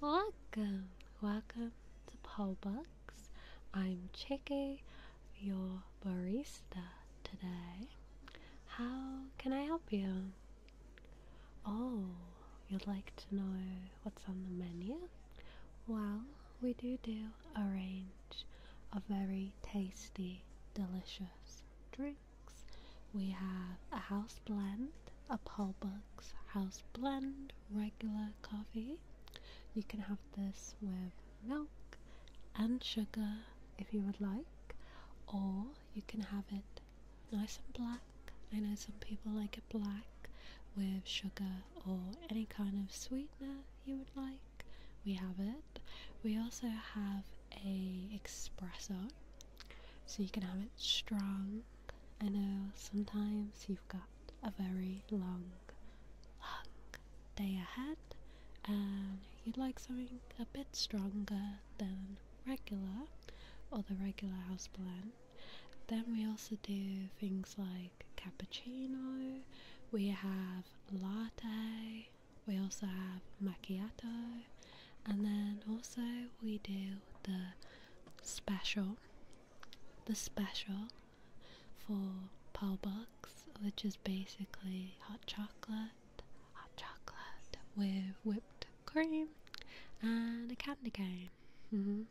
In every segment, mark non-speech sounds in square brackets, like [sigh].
Welcome, welcome to Pollbox. I'm Chicky, your barista today. How can I help you? Oh, you'd like to know what's on the menu? Well, we do do a range of very tasty, delicious drinks. We have a house blend, a Paul Buck's house blend, regular coffee. You can have this with milk and sugar if you would like, or you can have it nice and black. I know some people like it black with sugar or any kind of sweetener you would like. We have it we also have a espresso, so you can have it strong. I know sometimes you've got a very long, long day ahead, and you'd like something a bit stronger than regular or the regular house blend. Then we also do things like cappuccino, we have latte, we also have macchiato, and then also we do the special, the special for Paul which is basically hot chocolate, hot chocolate with whipped cream and a candy cane. Mm-hmm.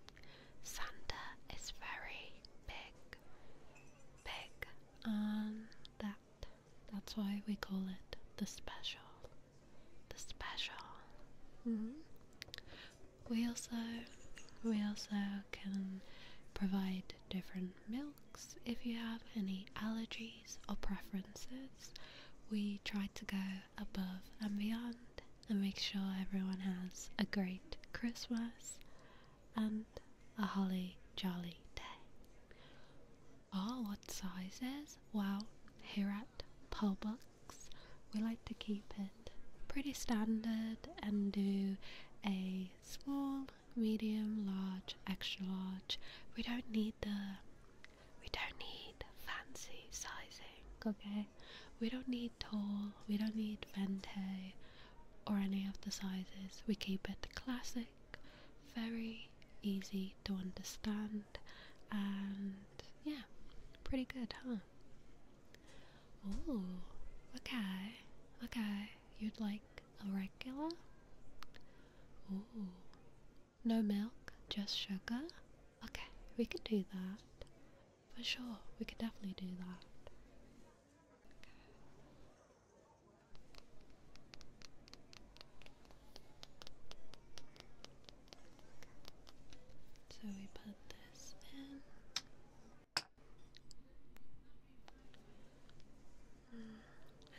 Santa is very big, big on that that's why we call it the special. The special. Mm-hmm. We also we also can provide different milks if you have any allergies or preferences. We try to go above and beyond and make sure everyone has a great Christmas and a holly jolly day. Ah, oh, what sizes? Well, here at Publix, we like to keep it pretty standard and do a small, medium, large, extra large. We don't need the we don't need fancy sizing, okay? We don't need tall, we don't need vente or any of the sizes. We keep it classic very easy to understand, and yeah, pretty good, huh? Oh, okay, okay. You'd like a regular? Oh, no milk, just sugar? Okay, we could do that. For sure, we could definitely do that. So we put this in.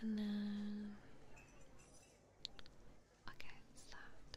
And then okay, soft.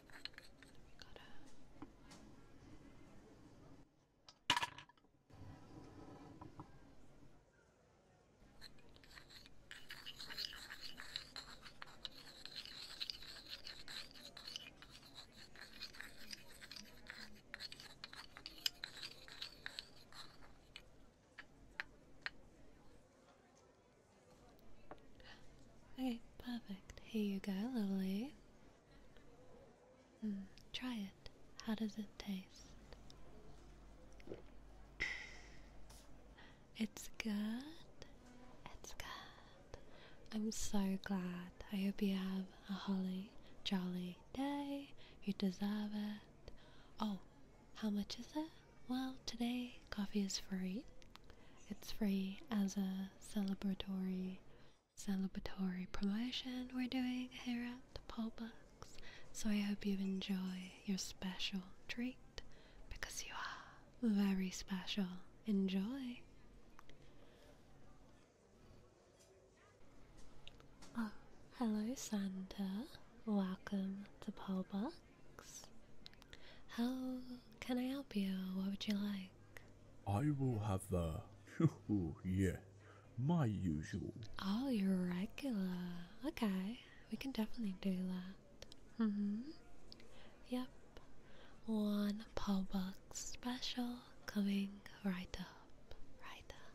We Okay, perfect. Here you go, lovely. Hmm, try it. How does it taste? It's good. It's good. I'm so glad. I hope you have a holly jolly day. You deserve it. Oh, how much is it? Well, today coffee is free. It's free as a celebratory celebratory promotion we're doing here at Polbucks. So I hope you enjoy your special treat because you are very special. Enjoy! Oh, hello Santa. Welcome to Polbucks. How can I help you? What would you like? I will have the. [laughs] yeah, my usual. Oh, you're regular. Okay, we can definitely do that. Mm hmm. Yep. One Pawbox special coming right up. Right up.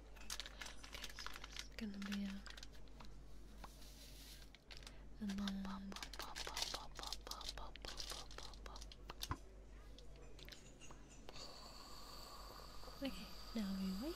Okay, so this gonna be a. now we wait.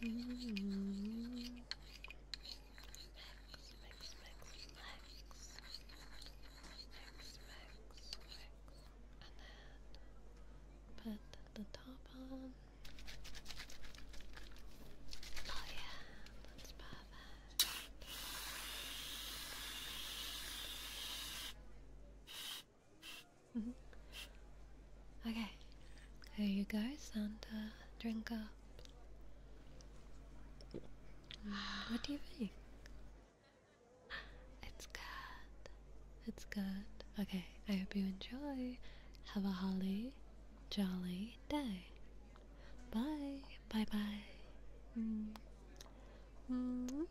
Mm -hmm. Max, max, max, max. Max, max, And then put the top on. Oh yeah, that's perfect. Mm-hmm. Okay, here you go, Santa. drink up. Mm, what do you think? It's good. It's good. Okay, I hope you enjoy. Have a holly, jolly day. Bye. Bye bye. Mm. Mm.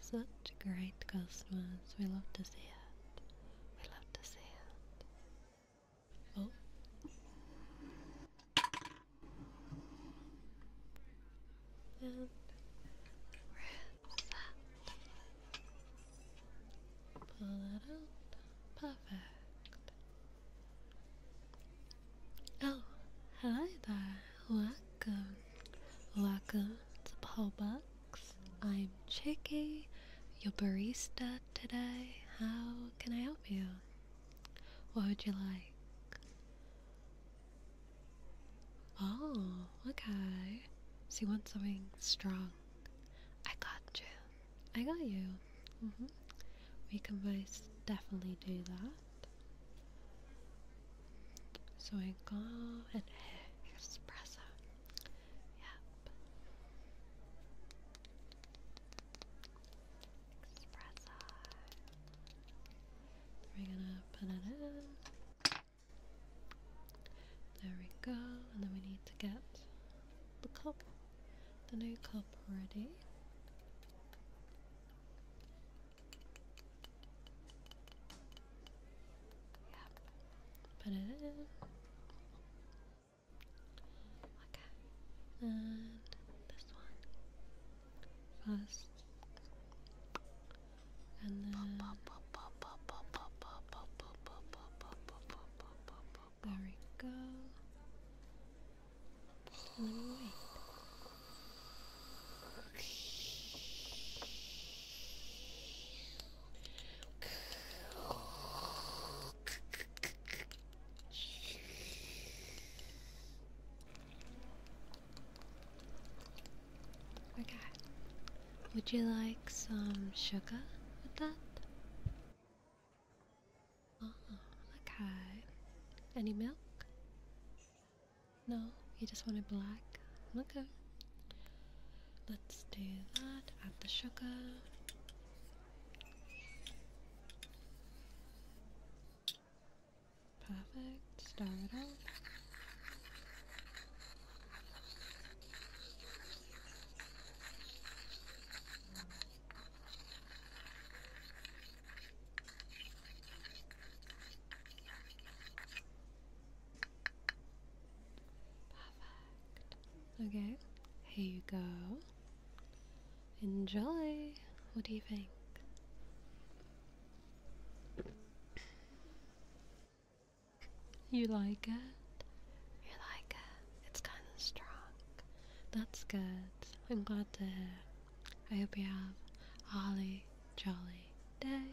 Such great customers, we love to see it. We love to see it. Oh. And that. Pull that out. Perfect. Oh, hello there. What? Welcome, to Paul I'm Chicky, your barista today. How can I help you? What would you like? Oh, okay. So you want something strong? I got you. I got you. Mm-hmm. We can both definitely do that. So I go and [laughs] espresso. Yep. Espresso. We're gonna put it in. There we go. And then we need to get the cup, the new cup ready. Yep. Put it in. Okay. And this one. First. And then uh, there we go. Just a little wait. Okay. Would you like some sugar with that? Ah, okay. Any milk? No, you just want it black? Okay. Let's do that. Add the sugar. Perfect. Start it up. Perfect. Okay, here you go. Enjoy. What do you think? You like it? You like it? It's kind of strong. That's good. I'm glad to hear. I hope you have Ollie jolly day.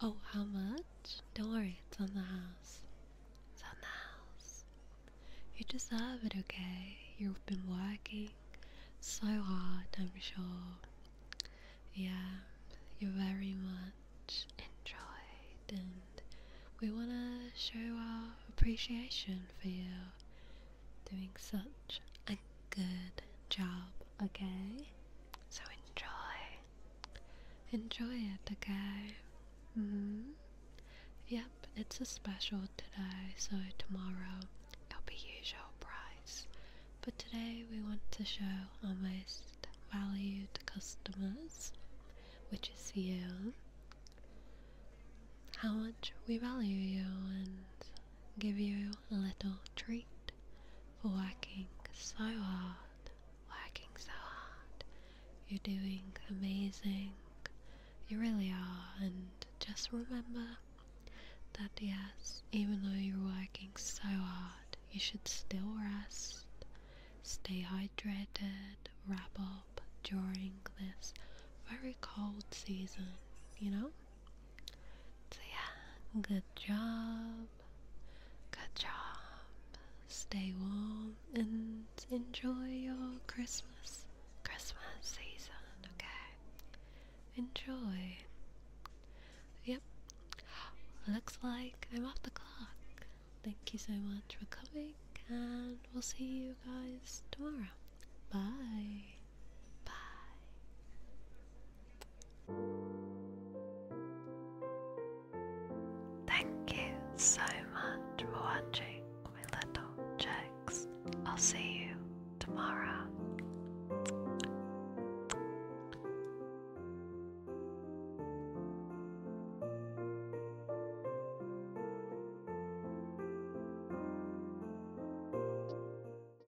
Oh, how much? Don't worry, it's on the house. It's on the house. You deserve it, okay? You've been working so hard, I'm sure. Yeah, you very much enjoyed, and we want to show our appreciation for you doing such good job, okay? So enjoy. Enjoy it, okay? Mm-hmm. Yep, it's a special today, so tomorrow it'll be usual price. But today we want to show our most valued customers, which is you, how much we value you and give you a little treat for working so hard, working so hard. You're doing amazing, you really are, and just remember that yes, even though you're working so hard, you should still rest, stay hydrated, wrap up during this very cold season, you know? So yeah, good job. Good job. Stay warm and enjoy your Christmas Christmas season, okay? Enjoy. Yep. Looks like I'm off the clock. Thank you so much for coming and we'll see you guys tomorrow. Bye. Thank you so much for watching, my little chicks. I'll see you tomorrow.